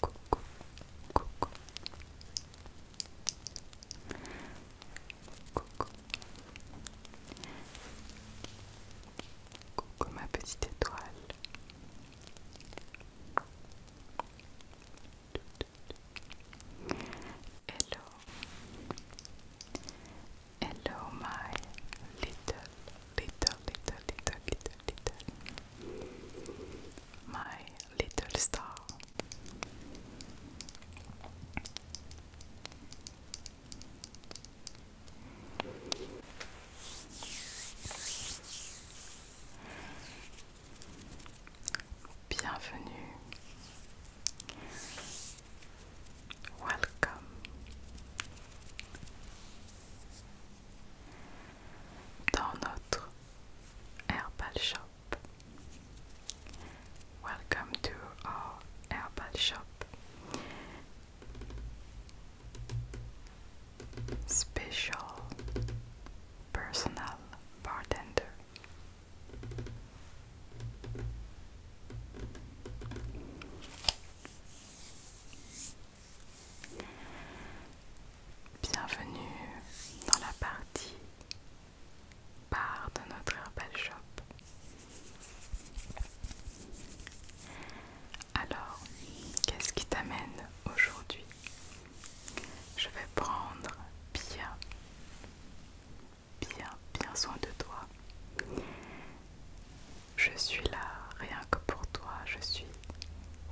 coucou, coucou. Coucou. Coucou ma petite étoile. Hello. Hello my little, little, little, little, little. My Little Star. Bienvenue. Welcome. Dans notre Herbal Shop. Welcome to our Herbal Shop. Special personal bartender. Bienvenue dans la partie part de notre Herbal Shop. Alors, qu'est-ce qui t'amène aujourd'hui Je vais prendre bien, bien, bien soin de toi. Je suis là rien que pour toi, je suis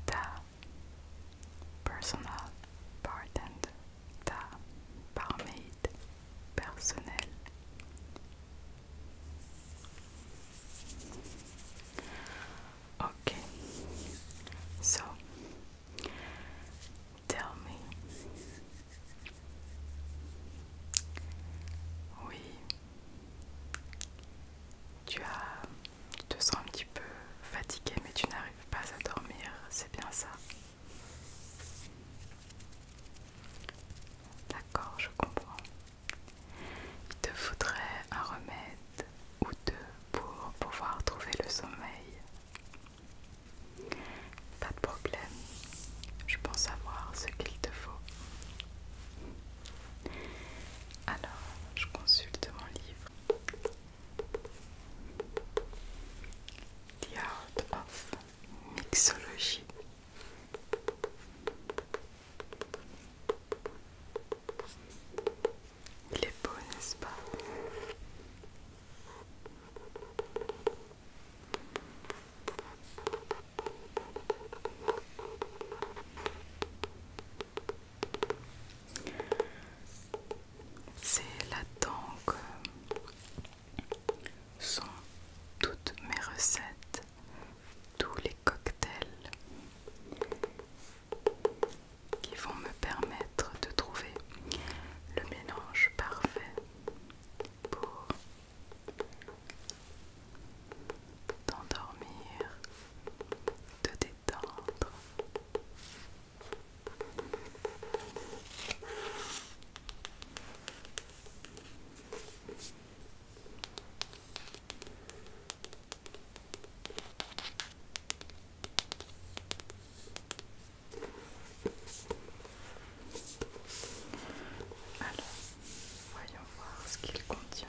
ta Personal bartender, the barmaid, personnel. Okay, so tell me. Oui, tu te sens un petit peu fatigué mais tu n'arrives pas à dormir, c'est bien ça. D'accord, je comprends. Il te faudrait un remède ou deux pour pouvoir trouver le sommeil. Pas de problème, je pense avoir ce qu'il te faut. Alors, je consulte mon livre. The Art of Mixology. Il est beau, n'est-ce pas c'est là-dedans que sont toutes mes recettes, tous les cocktails qui vont me permettre de trouver le mélange parfait pour t'endormir, te détendre alors, voyons voir ce qu'il contient.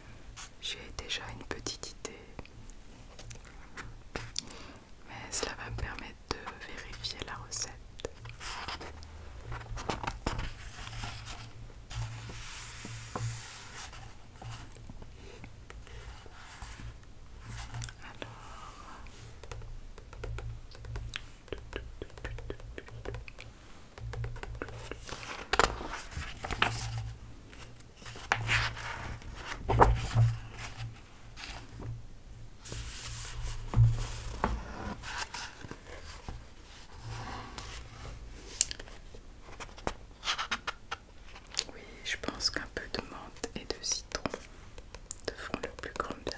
j'ai déjà une petite idée, mais cela va me permettre de vérifier la recette. Oui, je pense qu'un peu de menthe et de citron te font le plus grand bien.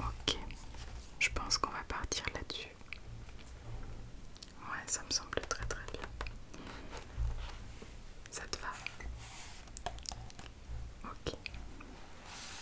Ok, je pense qu'on va partir là-dessus. Ouais, ça me semble très très bien. Ça te va Ok.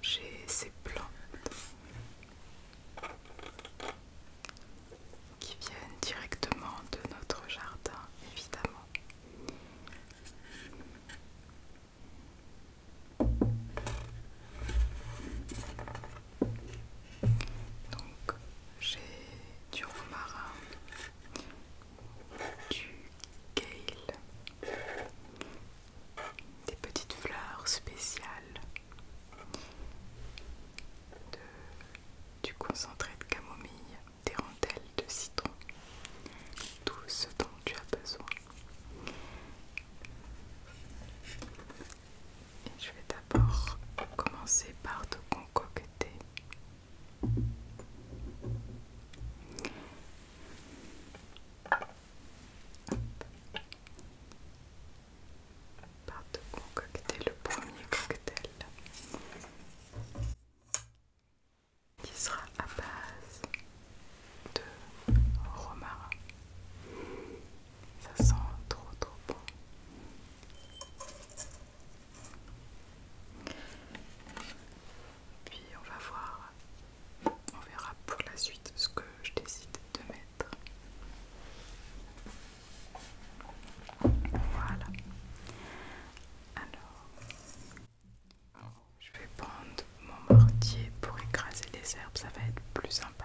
J'ai ces plans qui viennent directement de notre jardin, évidemment. Donc j'ai du romarin, du gale des petites fleurs spéciales de du concentré de camomille, des rondelles de citron, tout ce dont tu as besoin. je vais d'abord commencer par te concocter part de concocter le premier cocktail qui sera à base de romarin. Ça sent trop trop bon. Puis on va voir, on verra pour la suite ce que je décide de mettre. Voilà. Alors, je vais prendre mon mortier pour écraser les herbes, ça va être plus sympa.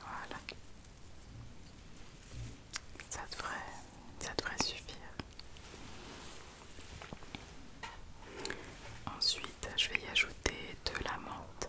Voilà. Ça devrait, devrait suffire. Ensuite, je vais y ajouter de la menthe.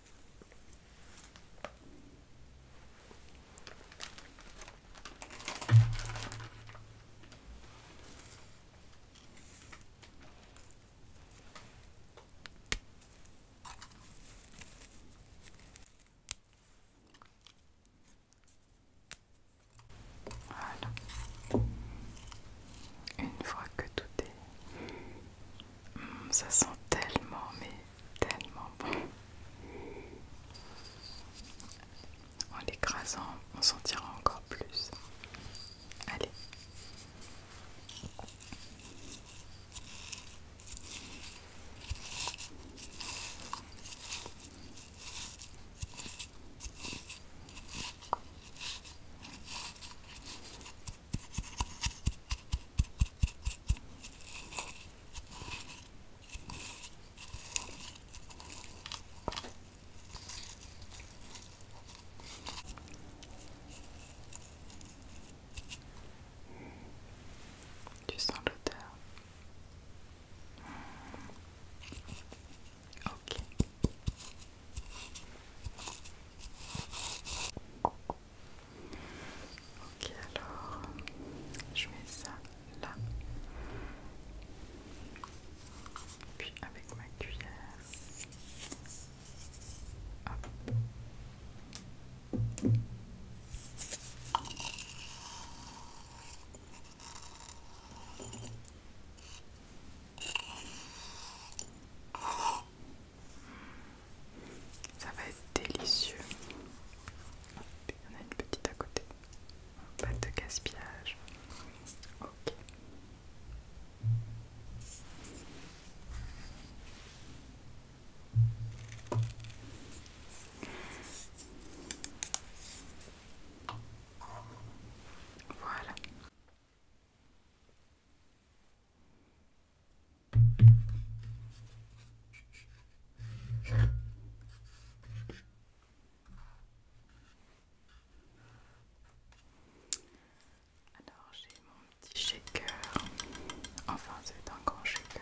Une fois que tout est... Hmm, ça sent tellement, mais tellement bon. En l'écrasant, on sentira encore plus. Allez. Tu sens l'odeur. Ok. Ok, alors je mets ça là. Puis avec ma cuillère. Ça va être délicieux. Il y en a une petite à côté. Pas de gaspillage. Ok. Voilà. Alors j'ai mon petit shaker, enfin c'est un grand shaker.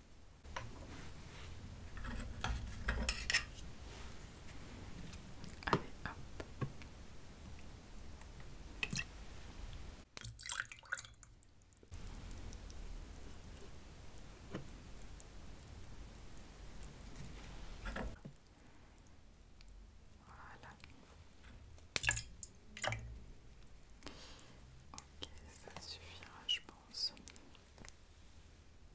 Allez, hop. Voilà. Ok, ça suffira, je pense.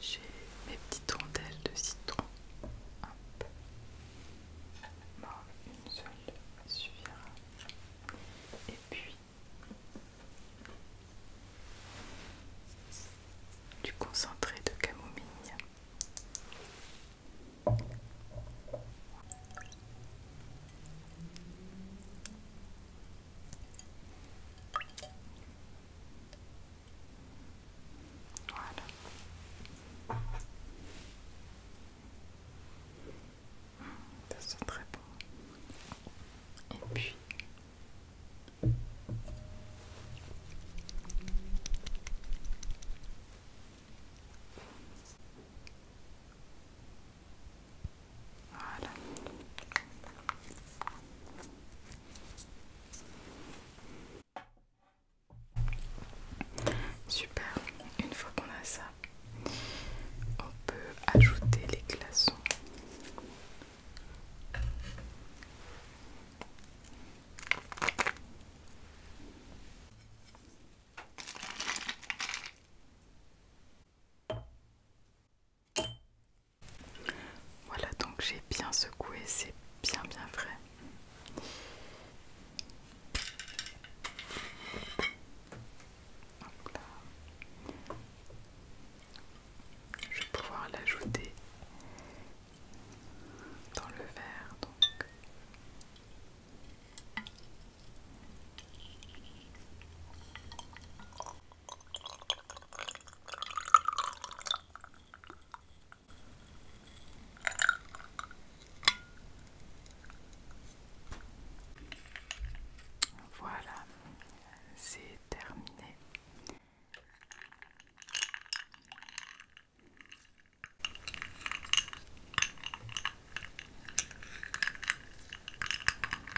j'ai mes petites rondelles de citron. une seule suffira. Et puis, du concentré de camomille. Voilà. très bon. Et puis... Super, une fois qu'on a ça, on peut ajouter les glaçons. Voilà, donc j'ai bien secoué, c'est bien bien frais. Je vais pouvoir l'ajouter dans le verre donc. Voilà, c'est terminé.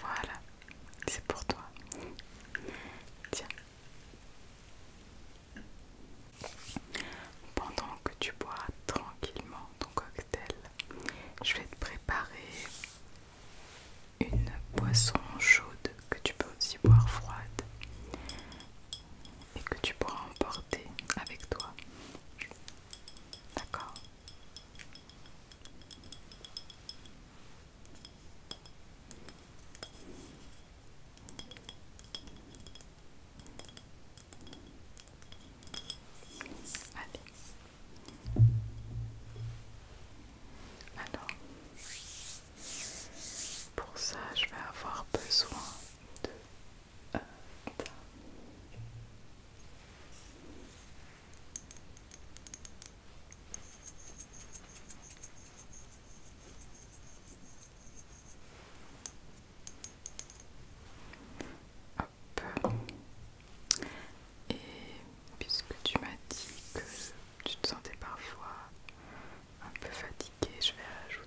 Voilà, c'est pour toi. Tiens. Pendant que tu bois tranquillement ton cocktail, je vais te préparer une boisson chaude que tu peux aussi boire froide et que tu pourras emporter avec toi. D'accord. Allez. Alors, pour ça, je vais avoir besoin de et puisque tu m'as dit que tu te sentais parfois un peu fatiguée, je vais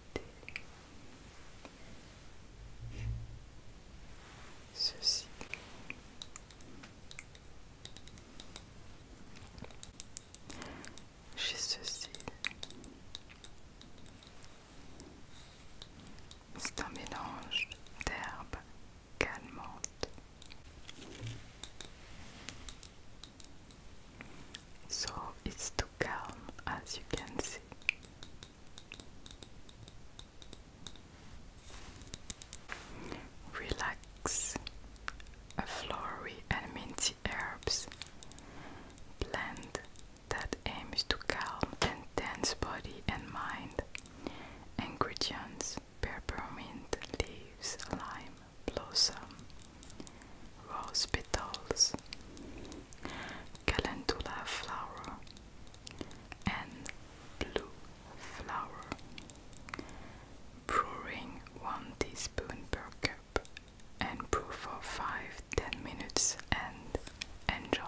ceci. chez ceci. C'est un mélange d'herbes calmantes. So it's too calm as you can see. Relax a flowery and minty herbs blend that aims to calm and tense body and mind. Ingredients peppermint leaves, lime blossom, rose petals, calendula flower, and blue flour, brewing 1 teaspoon per cup and brew for 5 minutes and enjoy.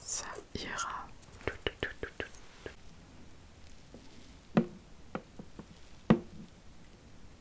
Ça ira. tout.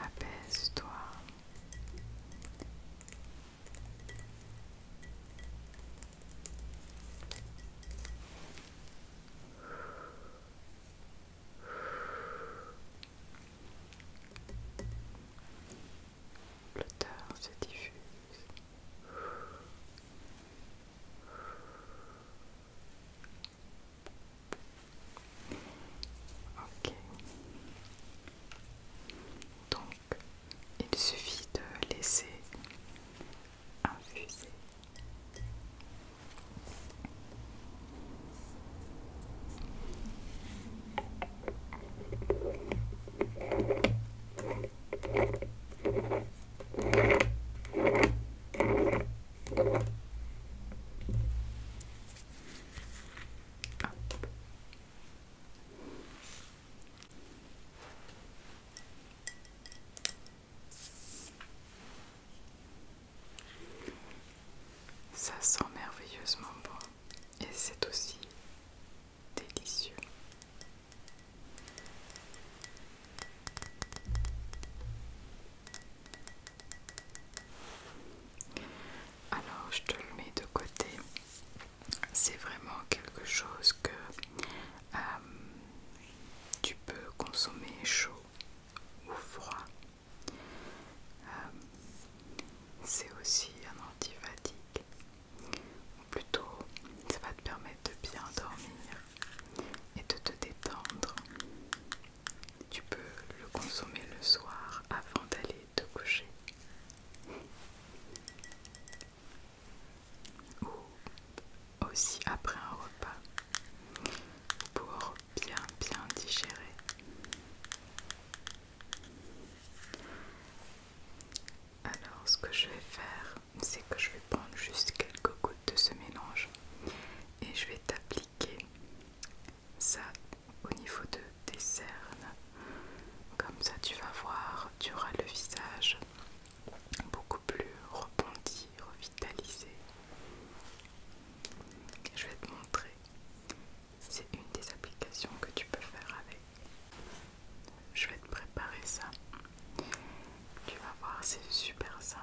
apaises toi L'odeur se diffuse. Ok. Donc il suffit de laisser infuser. Ça sent merveilleusement bon et c'est aussi délicieux. Alors je te le mets de côté c'est vraiment quelque chose que euh, tu peux consommer chaud ou froid. Euh, c'est aussi un anti ou plutôt ça va te permettre de bien dormir et de te détendre. Tu peux le consommer le soir avant d'aller te coucher ou aussi après un repas pour bien bien digérer. Alors ce que je vais faire, c'est que je vais prendre juste quelques gouttes de ce mélange et je vais t'appliquer ça au niveau de des cernes. Comme ça, tu vas voir, tu auras le visage beaucoup plus rebondi, revitalisé. Je vais te montrer. C'est une des applications que tu peux faire avec. Je vais te préparer ça. Tu vas voir, c'est super simple.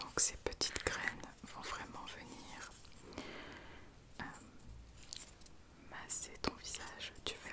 Donc ces petites graines vont vraiment venir euh, masser ton visage, tu verras.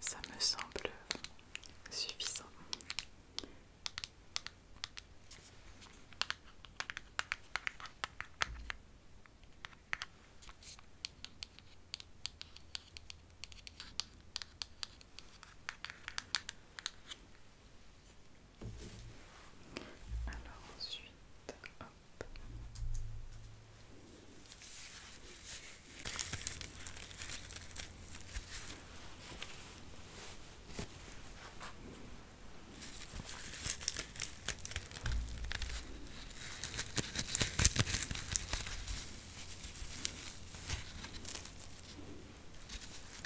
Ça me semble suffisant. Alors ensuite, hop.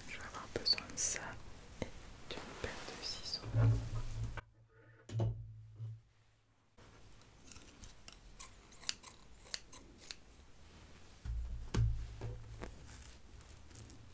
Je vais avoir besoin de ça et d'une paire de ciseaux.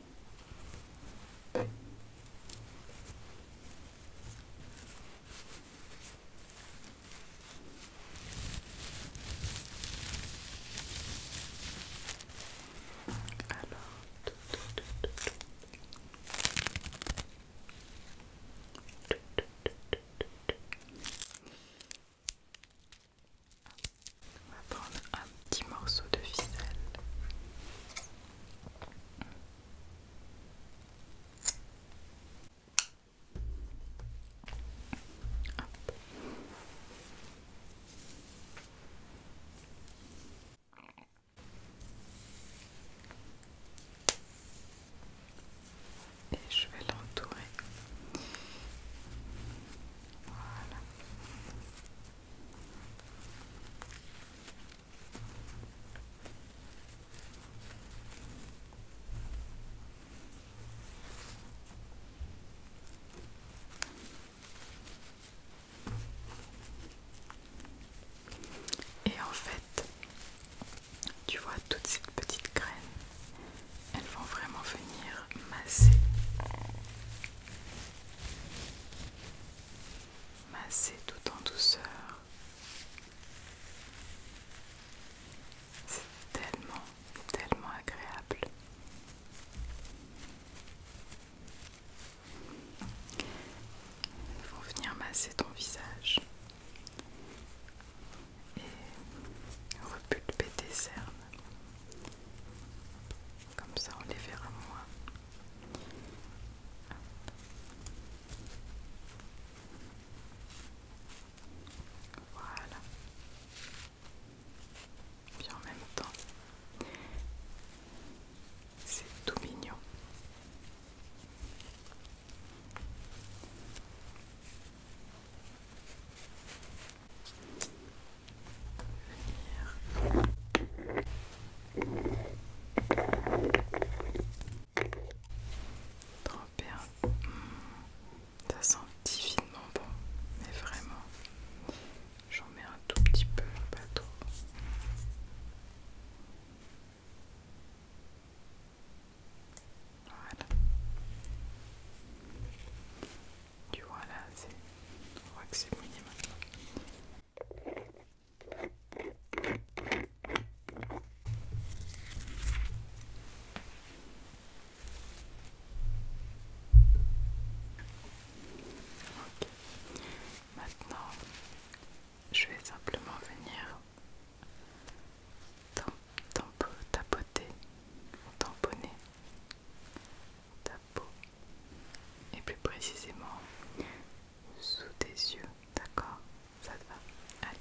On va prendre un petit morceau de ficelle. Et je vais l'entourer. Voilà. Et en fait, tu vois toutes ces petites graines, elles vont vraiment venir masser masser tout en douceur. C'est tellement, tellement agréable. Ils vont venir masser ton visage et repulper tes cernes. Comme ça, on les verra moins. Voilà. en même temps, c'est tout mignon. Tremper hmm. Ça sent divinement bon, mais vraiment. J'en mets un tout petit peu, pas trop. Voilà. Tu vois là, c'est... On voit que c'est mouillé maintenant. Maintenant, je vais simplement venir tapoter, tamponner ta peau et plus précisément sous tes yeux, d'accord Ça va Allez.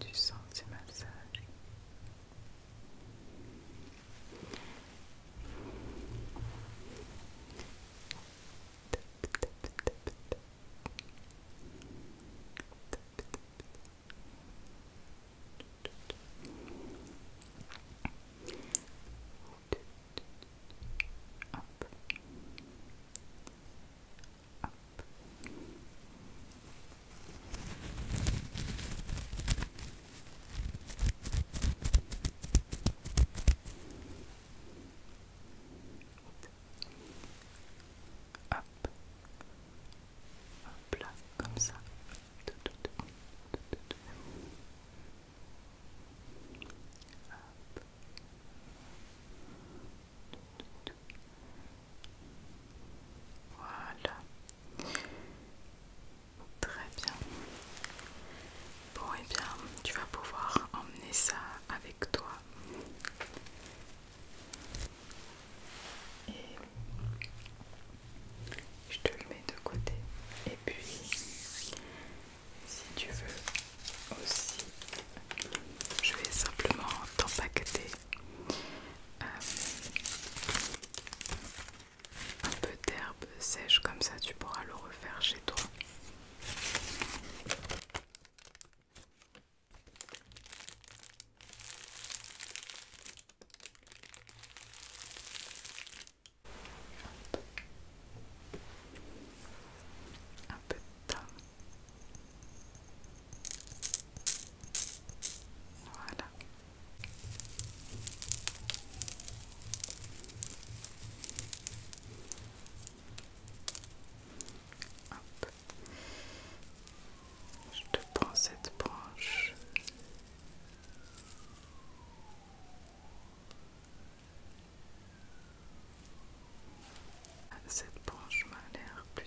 du sens du massage. Hop. Hop. Hop là, comme ça. Tout, tout, tout, tout, tout. Hop. Voilà. Très bien. Bon, et eh bien, tu vas pouvoir emmener ça avec toi. Et je te le mets de côté. Et puis, si tu veux aussi, je vais simplement t'empaqueter euh, un peu d'herbe sèche comme ça tu pourras le refaire chez toi voilà. Je te prends cette branche. Cette branche m'a l'air plus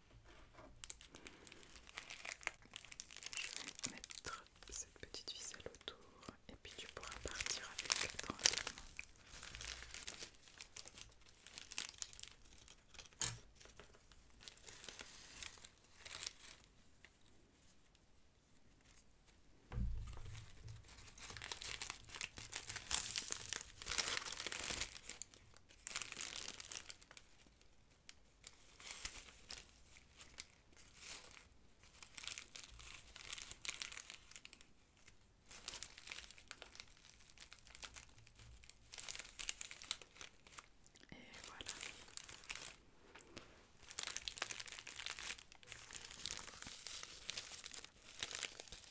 Je vais mettre cette petite ficelle autour et puis tu pourras partir avec tranquillement. Et voilà.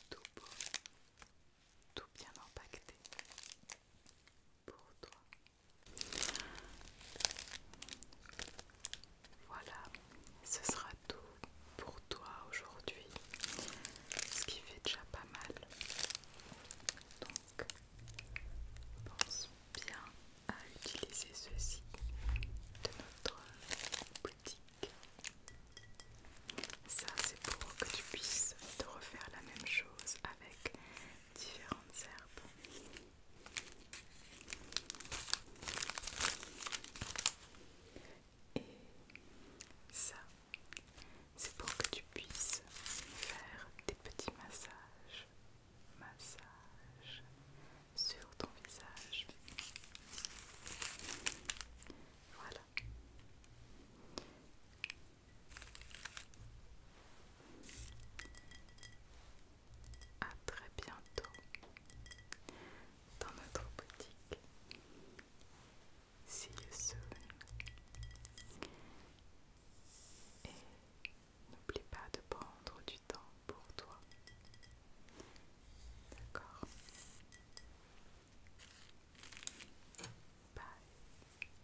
Tout beau, tout bien impacté. Voilà, ce sera tout pour toi aujourd'hui, ce qui fait déjà pas mal. Donc, pense bien à utiliser ceci de notre boutique. Ça, c'est pour que tu puisses te refaire la même chose avec différentes herbes. Et ça, c'est pour que tu puisses faire des petits massages, massages sur ton visage. Voilà. À très bientôt dans notre boutique. See you soon. Et n'oublie pas de prendre du temps pour toi. D'accord Bye.